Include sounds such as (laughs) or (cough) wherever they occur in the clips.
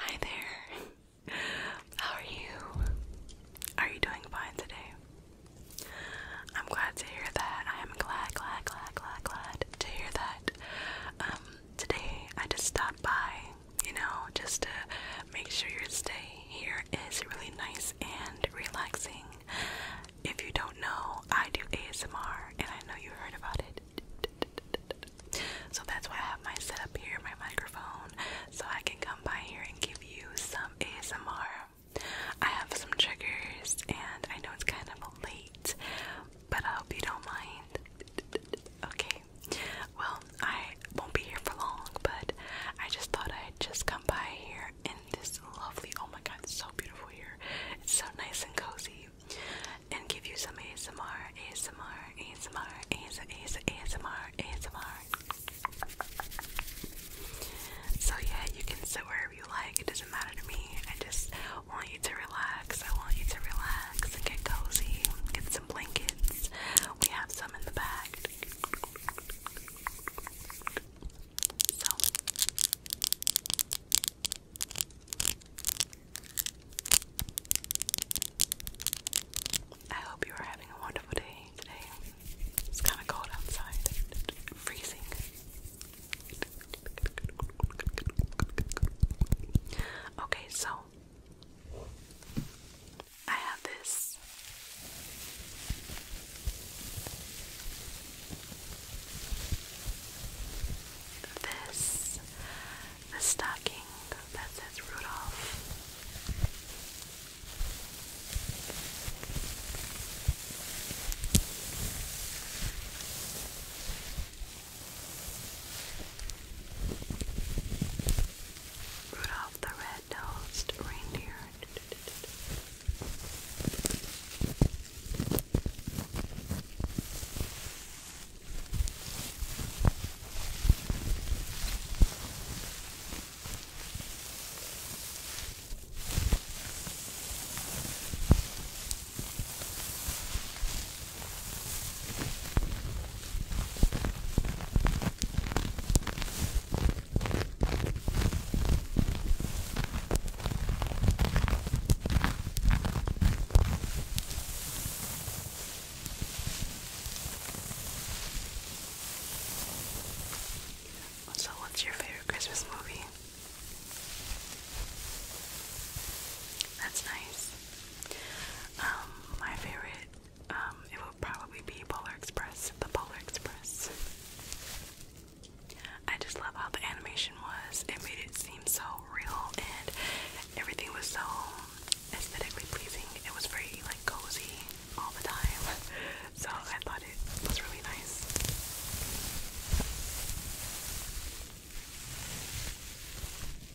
Hi there. (laughs) How are you? Are you doing fine today? I'm glad to hear that. I am glad, glad, glad, glad, glad to hear that. Um, today I just stopped by you know, just to make sure your stay here is really nice and relaxing. If you don't know, I do ASMR and I know you heard about it. So that's why I have my setup here, my microphone, so I can come by here and give you some ASMR. I have some triggers and I know it's kind of late, but I hope you don't mind. Okay, Okay. Well, I won't be here for long, but I just thought I'd just come by here in this lovely oh my god, it's so beautiful here. It's so nice and cozy. And give you some ASMR, ASMR, ASMR, ASMR, ASMR, ASMR. So yeah, you can sit wherever you like. It doesn't matter to me. I just want you to relax. I want you to relax and get cozy. Get some blankets. We have some in the back. I hope you are having a wonderful day today. It's kind of cold outside, freezing. Okay, so I have this. This, the stocking that says Rudolph. Rudolph the Red-Nosed Reindeer. So, what's your favorite Christmas movie? That's nice. Um, my favorite um, it will probably be Polar Express, the Polar Express. I just love how the animation was. It made it seem so real and everything was so aesthetically pleasing. It was very like cozy all the time. (laughs) So I thought it was really nice.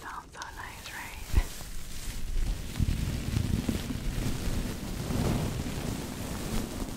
Sounds so nice, right? (laughs)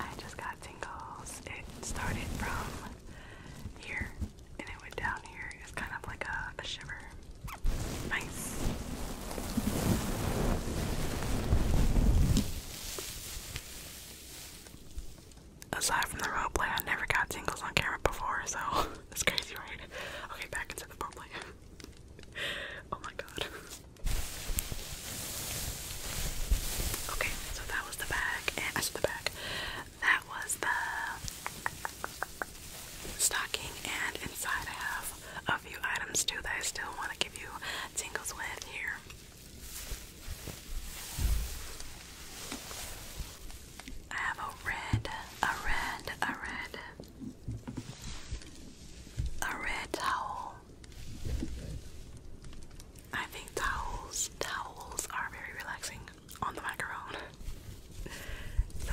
I just got tingles. It started from here and it went down here. It's kind of like a, shiver. Nice. Aside from the roleplay, I never got tingles on camera before, so it's (laughs) crazy, right? Okay, back into the roleplay. (laughs) oh my god. Okay, so that was the bag, and the bag that was the stocking, and inside I have a few items too that I still want to give you tingles with here. I have a red, a red, a red, a red towel. I think towels, towels are very relaxing on the macaron. so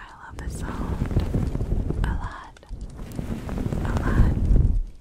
I love this sound a lot, a lot.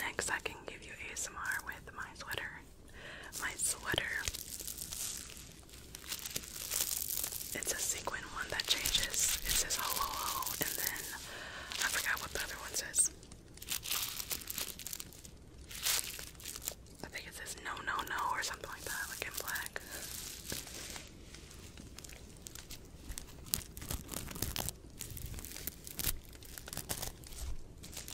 Next, I can give you ASMR with my sweater my sweater. It's a sequin one that changes. It says ho ho ho, and then I forgot what the other one says. I think it says no no no or something like that, like in black.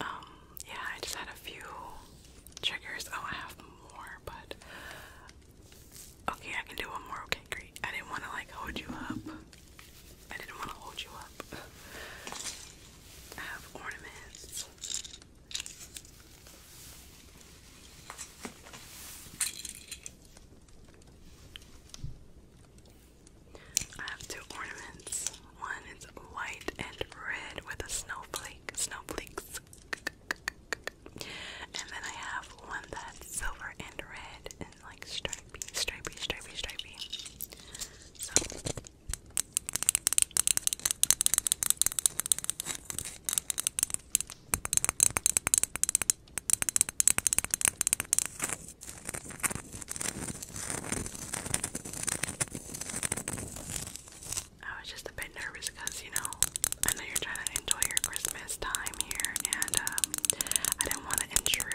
Um, yeah, I just had a few triggers. Oh, I have more, but okay, I can do one more. Okay, great. I didn't want to like hold you up. I didn't want to hold you up. I have ornaments. I have two ornaments. One is white and red with a snowflake, snowflakes. And then I have one that's silver and red and like stripy, stripy, stripy, stripy. So I was just a bit nervous because, you know, I know you're trying to enjoy your Christmas time here, and um, I didn't want to intrude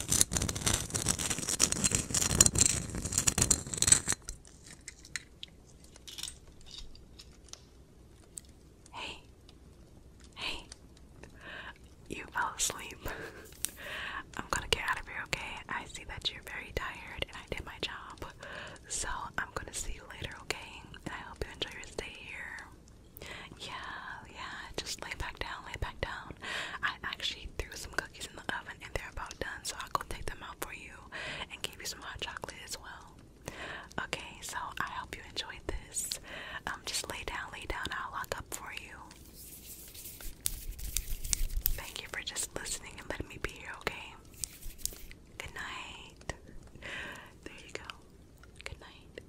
Hey, hey, you fell asleep. (laughs) I'm gonna get out of here, okay? I see that you're very tired and I did my job. So I'm gonna see you later, okay? I hope you enjoy your stay here. Yeah, yeah, just lay back down, lay back down. I actually threw some cookies in the oven and they're about done, so I'll go take them out for you and give you some hot chocolate as well. Okay, so I hope you enjoyed this. Um, just lay down, lay down, I'll lock up for you. Thank you for just listening and letting me be here, okay? Good night. There you go. Good night.